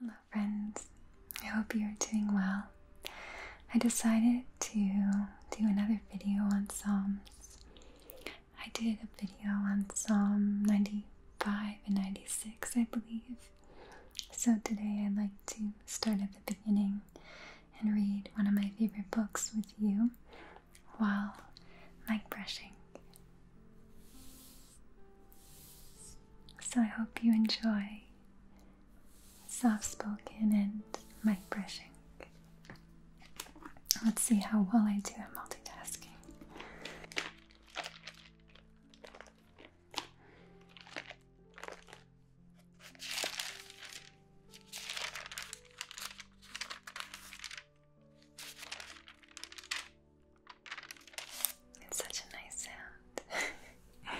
Hello, friends. I hope you're doing well. I decided to do another video on Psalms. I did a video on Psalm 95 and 96, I believe. So today I'd like to start at the beginning and read one of my favorite books with you while mic brushing. So I hope you enjoy soft spoken and mic brushing. Let's see how well I do at multitasking. It's such a nice sound.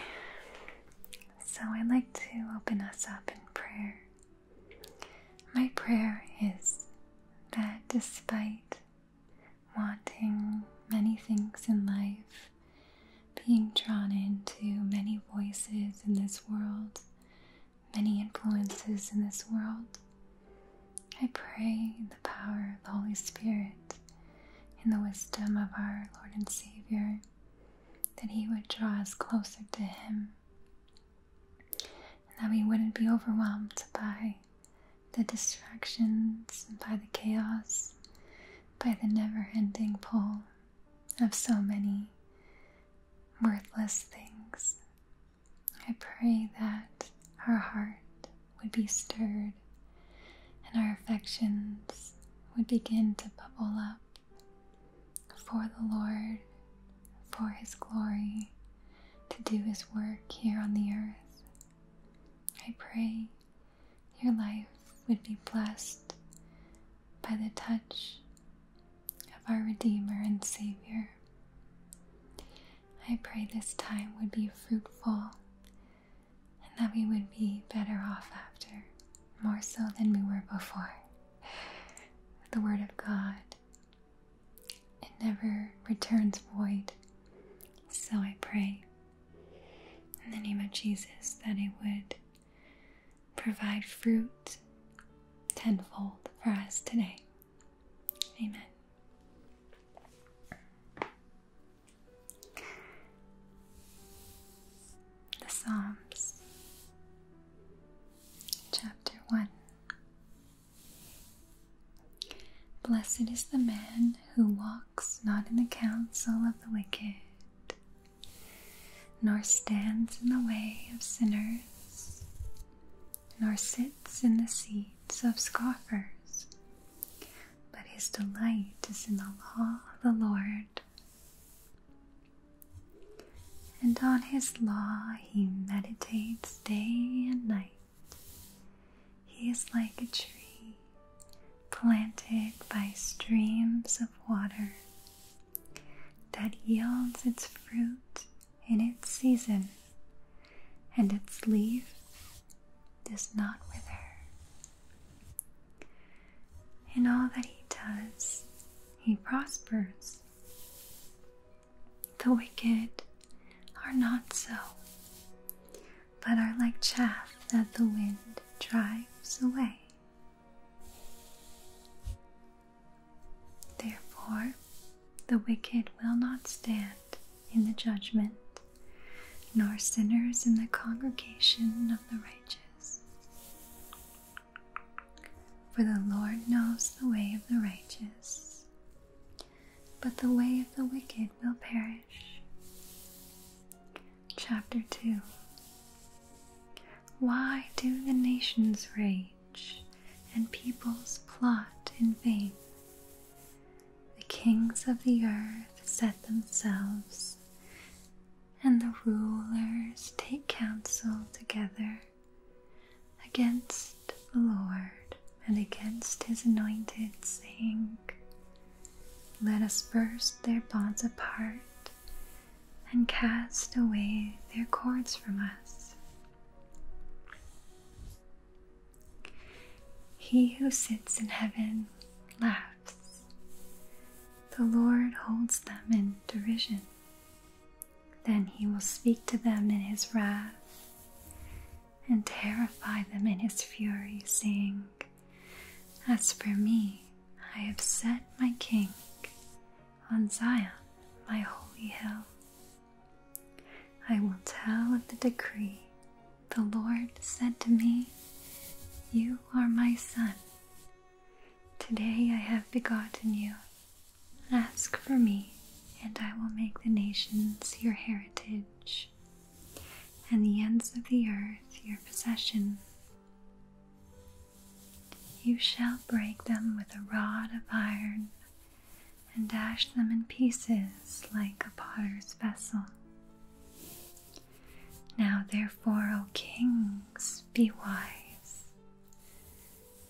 so I'd like to open us up in prayer. My prayer is that despite wanting many things in life, being drawn into many voices in this world, many influences in this world. I pray the power of the Holy Spirit and the wisdom of our Lord and Savior that He would draw us closer to Him and that we wouldn't be overwhelmed by the distractions, by the chaos, by the never ending pull of so many worthless things I pray that our heart would be stirred and our affections would begin to bubble up for the Lord, for His glory, to do His work here on the earth. I pray your life would be blessed by the touch of our Redeemer and Savior. I pray this time would be fruitful and that we would be better off after, more so than we were before. The Word of God, it never returns void. So I pray in the name of Jesus that it would provide fruit tenfold for us today. Amen. The Psalms, Chapter 1 Blessed is the man who walks not in the counsel of the wicked, nor stands in the way of sinners, nor sits in the seats of scoffers, but his delight is in the law of the Lord. And on his law he meditates day and night. He is like a tree planted by streams of water that yields its fruit in its season, and its leaf does not wither. In all that he does, he prospers. The wicked are not so, but are like chaff that the wind drives away. Therefore, the wicked will not stand in the judgment, nor sinners in the congregation of the righteous. For the Lord knows the way of the righteous, but the way of the wicked will perish. Chapter 2 Why do the nations rage? and peoples plot in vain. The kings of the earth set themselves, and the rulers take counsel together against the Lord and against his anointed, saying, Let us burst their bonds apart and cast away their cords from us. He who sits in heaven laughs. The Lord holds them in derision. Then he will speak to them in his wrath and terrify them in his fury, saying, As for me, I have set my king on Zion, my holy hill. I will tell of the decree the Lord said to me, You are my son. Today I have begotten you. Ask for me, and I will make the nations your heritage, and the ends of the earth your possession. You shall break them with a rod of iron and dash them in pieces like a potter's vessel. Now, therefore, O kings, be wise.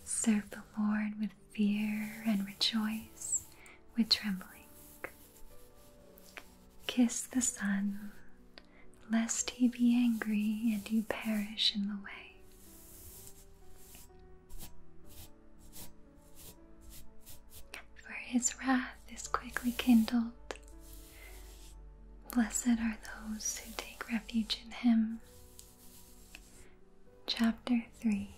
Serve the Lord with fear and rejoice with trembling. Kiss the sun, lest he be angry and you perish in the way. For his wrath is quickly kindled. Blessed are those who take refuge in him. Chapter 3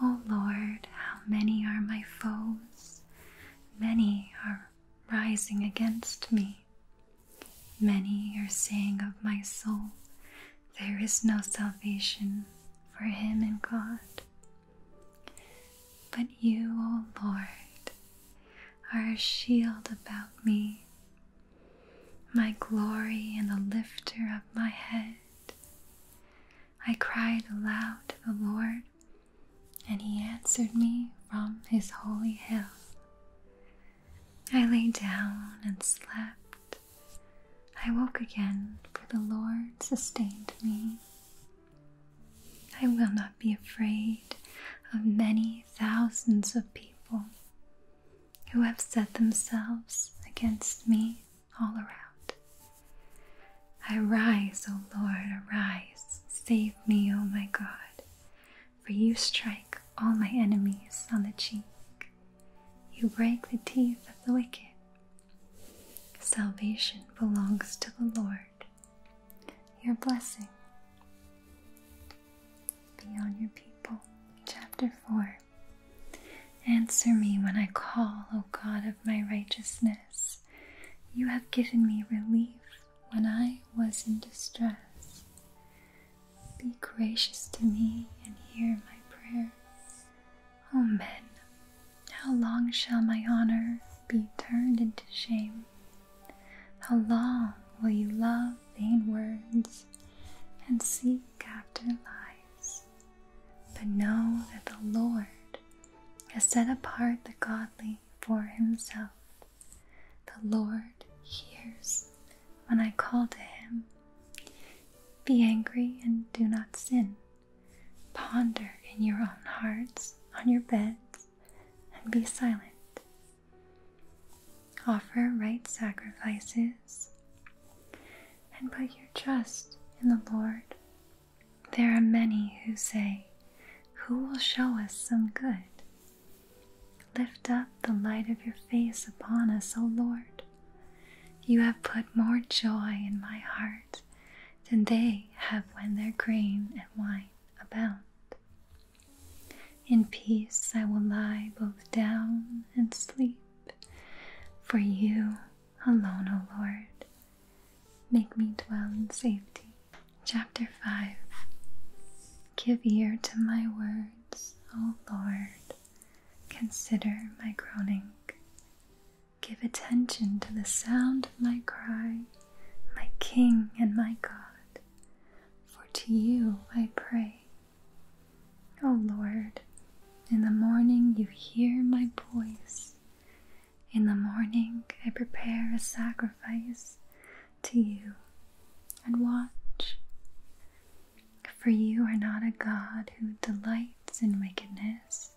O Lord, how many are my foes! Many are rising against me. Many are saying of my soul, There is no salvation for him in God. But you, O Lord, are a shield about me, my glory and the lifter of my head. I cried aloud to the Lord, and he answered me from his holy hill. I lay down and slept. I woke again, for the Lord sustained me. I will not be afraid of many thousands of people who have set themselves against me all around. I rise, O Lord, arise. Save me, O my God for you strike all my enemies on the cheek. You break the teeth of the wicked. Salvation belongs to the Lord. Your blessing be on your people. Chapter 4 Answer me when I call, O God of my righteousness. You have given me relief when I was in distress. Be gracious to me and hear my prayer. O oh, men, how long shall my honor be turned into shame? How long will you love vain words and seek after lies? But know that the Lord has set apart the godly for himself. The Lord hears when I call to Him. Be angry and do not sin. Ponder in your own hearts, on your beds, and be silent. Offer right sacrifices and put your trust in the Lord. There are many who say, Who will show us some good? Lift up the light of your face upon us, O Lord. You have put more joy in my heart than they have when their grain and wine abound. In peace I will lie both down and sleep, for you alone, O Lord, make me dwell in safety. Chapter 5 Give ear to my words. O Lord, consider my groaning. Give attention to the sound of my cry, my King and my God, for to you I pray. O Lord, in the morning you hear my voice. In the morning I prepare a sacrifice to you and watch. For you are not a God who delights in wickedness.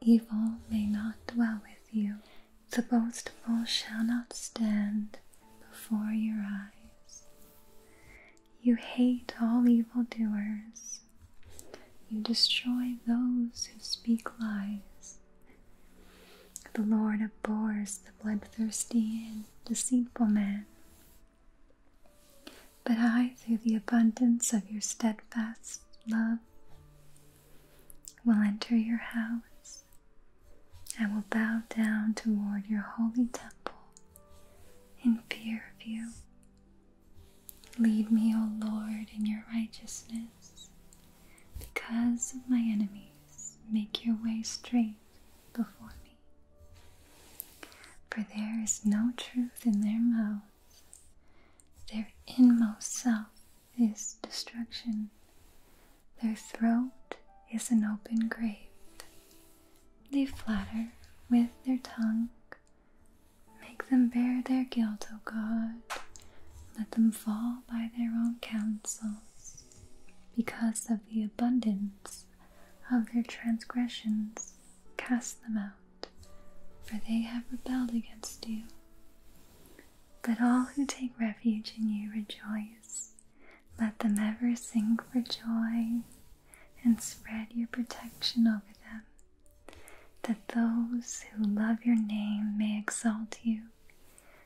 Evil may not dwell with you. The boastful shall not stand before your eyes. You hate all evil doers. You destroy those who speak lies. The Lord abhors bloodthirsty and deceitful man, but I, through the abundance of your steadfast love, will enter your house. I will bow down toward your holy temple in fear of you. Lead me, O Lord, in your righteousness. Because of my enemies, make your way straight before me. For there is no truth in their mouths, their inmost self is destruction, their throat is an open grave. They flatter with their tongue. Make them bear their guilt, O God. Let them fall by their own counsels because of the abundance of their transgressions, cast them out, for they have rebelled against you. But all who take refuge in you rejoice. Let them ever sing for joy and spread your protection over them, that those who love your name may exalt you,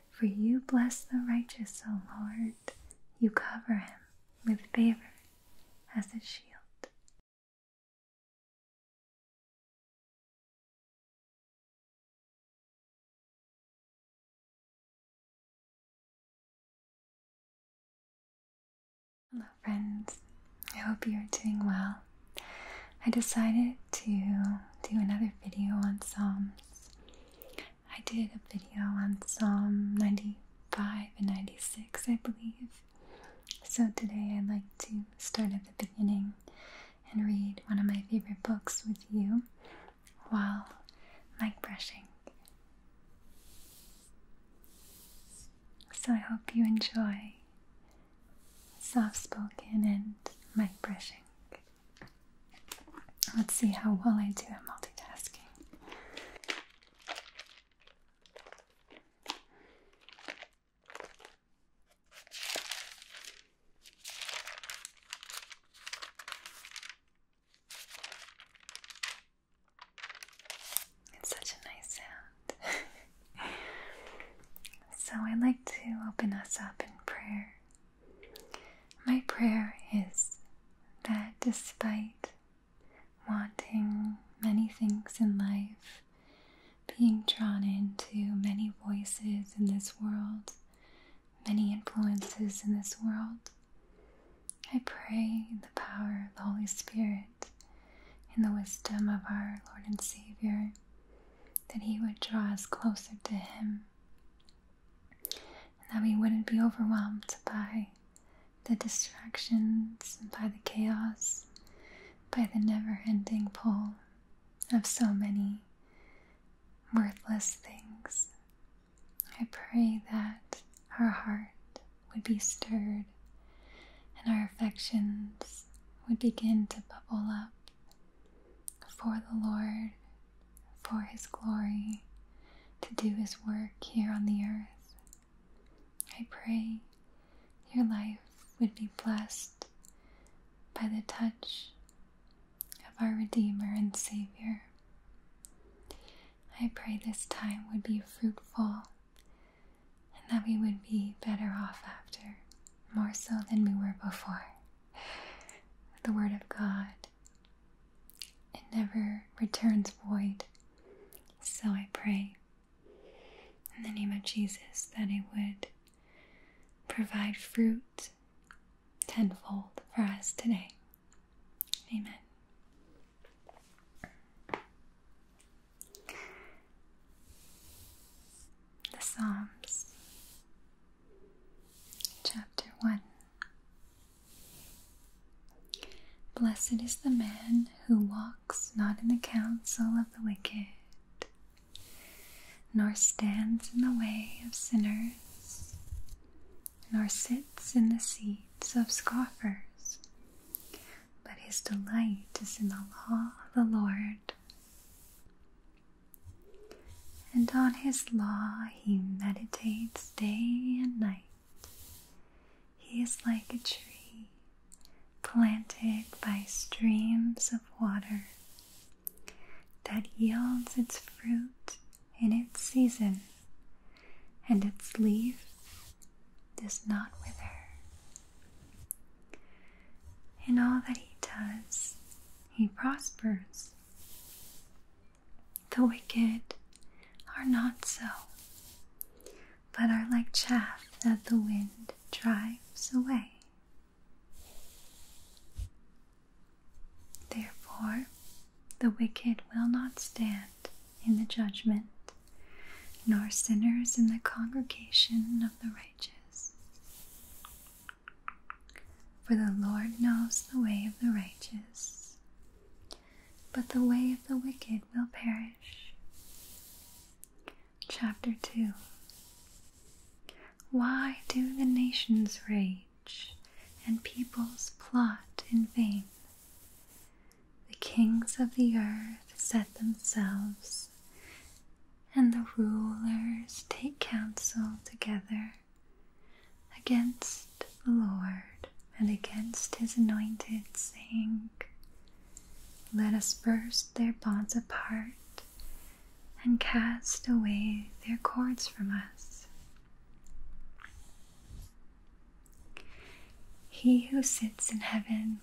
for you bless the righteous, O Lord. You cover him with favor as a shield. Hello, friends. I hope you are doing well. I decided to do another video on Psalms. I did a video on Psalm 95 and 96, I believe. So today I'd like to start at the beginning and read one of my favorite books with you while mic brushing. So I hope you enjoy soft spoken and mic brushing. Let's see how well I do at multitasking. It's such a nice sound. so, I'd like to open us up in prayer my prayer is that despite wanting many things in life, being drawn into many voices in this world, many influences in this world, I pray the power of the Holy Spirit and the wisdom of our Lord and Savior that He would draw us closer to Him and that we wouldn't be overwhelmed by the distractions, by the chaos, by the never ending pull of so many worthless things. I pray that our heart would be stirred and our affections would begin to bubble up for the Lord, for His glory, to do His work here on the earth. I pray your life would be blessed by the touch of our Redeemer and Savior. I pray this time would be fruitful and that we would be better off after, more so than we were before. The Word of God it never returns void. So I pray in the name of Jesus that it would provide fruit tenfold for us today. Amen. The Psalms Chapter 1 Blessed is the man who walks not in the counsel of the wicked, nor stands in the way of sinners, nor sits in the seats of scoffers, but his delight is in the law of the Lord and on his law he meditates day and night. He is like a tree planted by streams of water that yields its fruit in its season, and its leaf does not wither. In all that he does, he prospers. The wicked are not so, but are like chaff that the wind drives away. Therefore, the wicked will not stand in the judgment, nor sinners in the congregation of the righteous. For the Lord knows the way of the righteous, but the way of the wicked will perish. Chapter 2 Why do the nations rage and peoples plot in vain? The kings of the earth set themselves, and the rulers take counsel together against the Lord and against his anointed, saying, Let us burst their bonds apart and cast away their cords from us. He who sits in heaven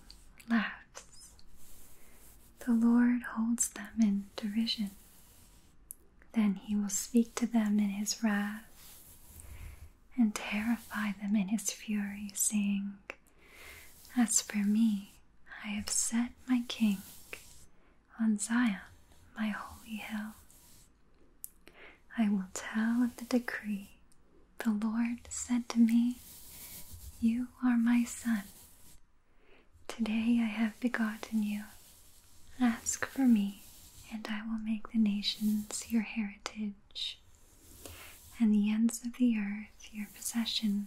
laughs. The Lord holds them in derision. Then he will speak to them in his wrath and terrify them in his fury, saying, As for me, I have set my king on Zion, my holy hill. I will tell of the decree. The Lord said to me, You are my son. Today I have begotten you. Ask for me, and I will make the nations your heritage, and the ends of the earth your possession.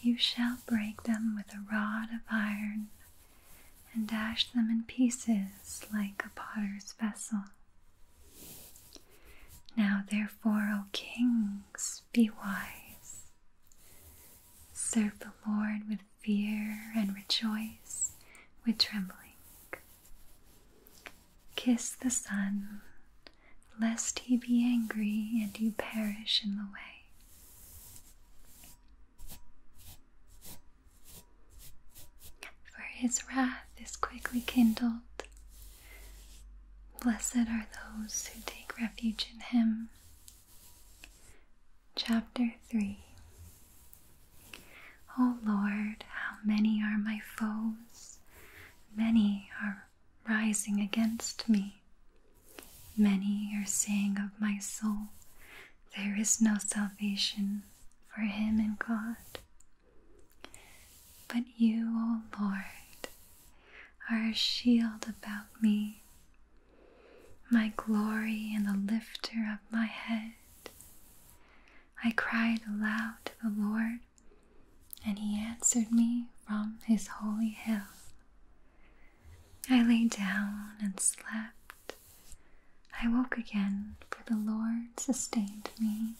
You shall break them with a rod of iron, and dash them in pieces like a potter's vessel. Now, therefore, O kings, be wise. Serve the Lord with fear and rejoice with trembling. Kiss the sun, lest he be angry and you perish in the way. For his wrath is quickly kindled. Blessed are those who take refuge in him. Chapter O Lord, how many are my foes! Many are rising against me. Many are saying of my soul, There is no salvation for him in God. But you, O Lord, are a shield about me, my glory and the lifter of my head. I cried aloud to the Lord, and he answered me from his holy hill. I lay down and slept. I woke again, for the Lord sustained me.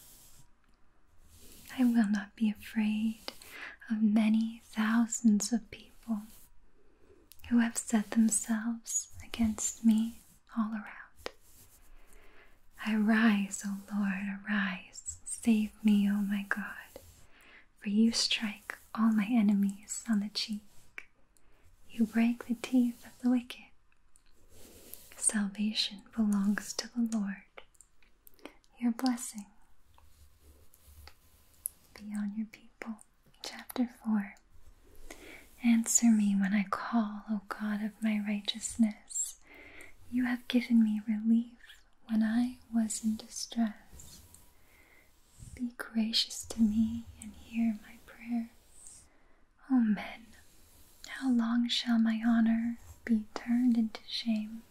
I will not be afraid of many thousands of people who have set themselves against me all around. I rise, O Lord, arise, save me, O my God, for you strike all my enemies on the cheek. You break the teeth of the wicked. Salvation belongs to the Lord your blessing be on your people. Chapter 4 Answer me when I call, O God of my righteousness. You have given me relief when I was in distress. Be gracious to me and hear my prayer. O men, how long shall my honor be turned into shame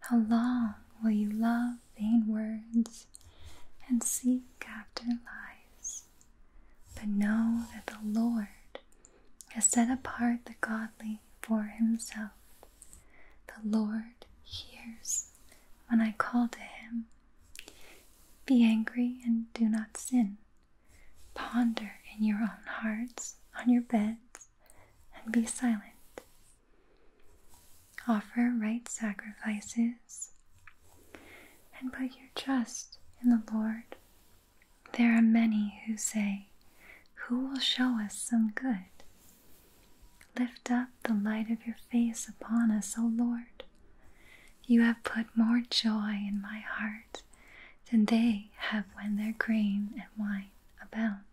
how long will you love vain words and seek after lies? But know that the Lord has set apart the godly for himself. The Lord hears when I call to him. Be angry and do not sin. Ponder in your own hearts on your beds and be silent. Offer right sacrifices and put your trust in the Lord. There are many who say, Who will show us some good? Lift up the light of your face upon us, O Lord. You have put more joy in my heart than they have when their grain and wine abound.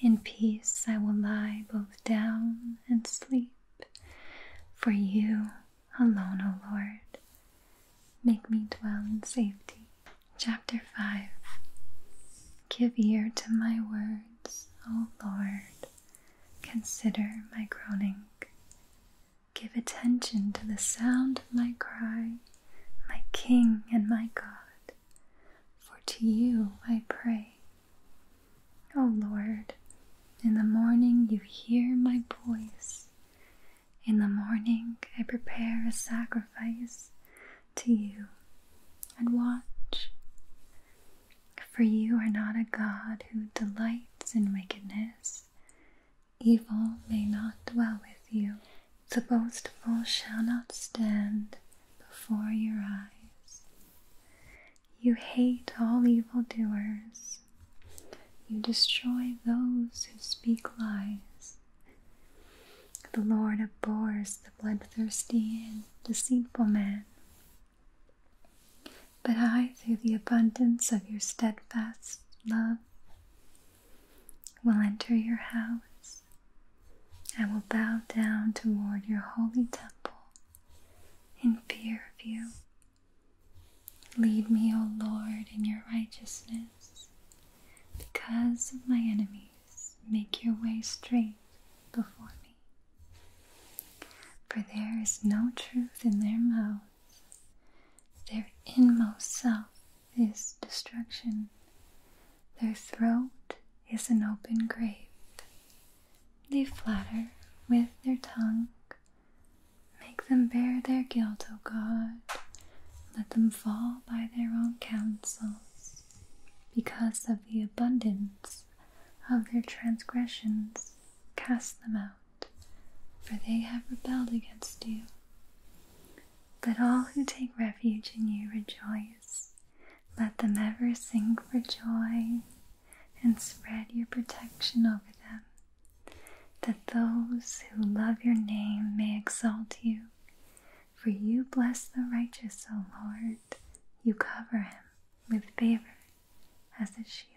In peace I will lie both down and sleep, for you alone, O Lord, make me dwell in safety. Chapter 5 Give ear to my words, O Lord, consider my groaning. Give attention to the sound of my cry, my King and my God for to you I pray. O Lord, in the morning you hear my voice. In the morning I prepare a sacrifice to you and watch. For you are not a God who delights in wickedness, evil may not dwell with you. The boastful shall not stand before your eyes. You hate all evil doers. You destroy those who speak lies. The Lord abhors the bloodthirsty and deceitful man. But I, through the abundance of your steadfast love, will enter your house. I will bow down toward your holy temple in fear of you. Lead me, O Lord, in your righteousness. Because of my enemies, make your way straight before me. For there is no truth in their mouths, their inmost self is destruction. Their throat is an open grave. They flatter with their tongue. Make them bear their guilt, O God. Let them fall by their own counsels. Because of the abundance of their transgressions, cast them out, for they have rebelled against you. Let all who take refuge in you rejoice. Let them ever sing for joy and spread your protection over them, that those who love your name may exalt you. For you bless the righteous, O Lord, you cover him with favor as a shield.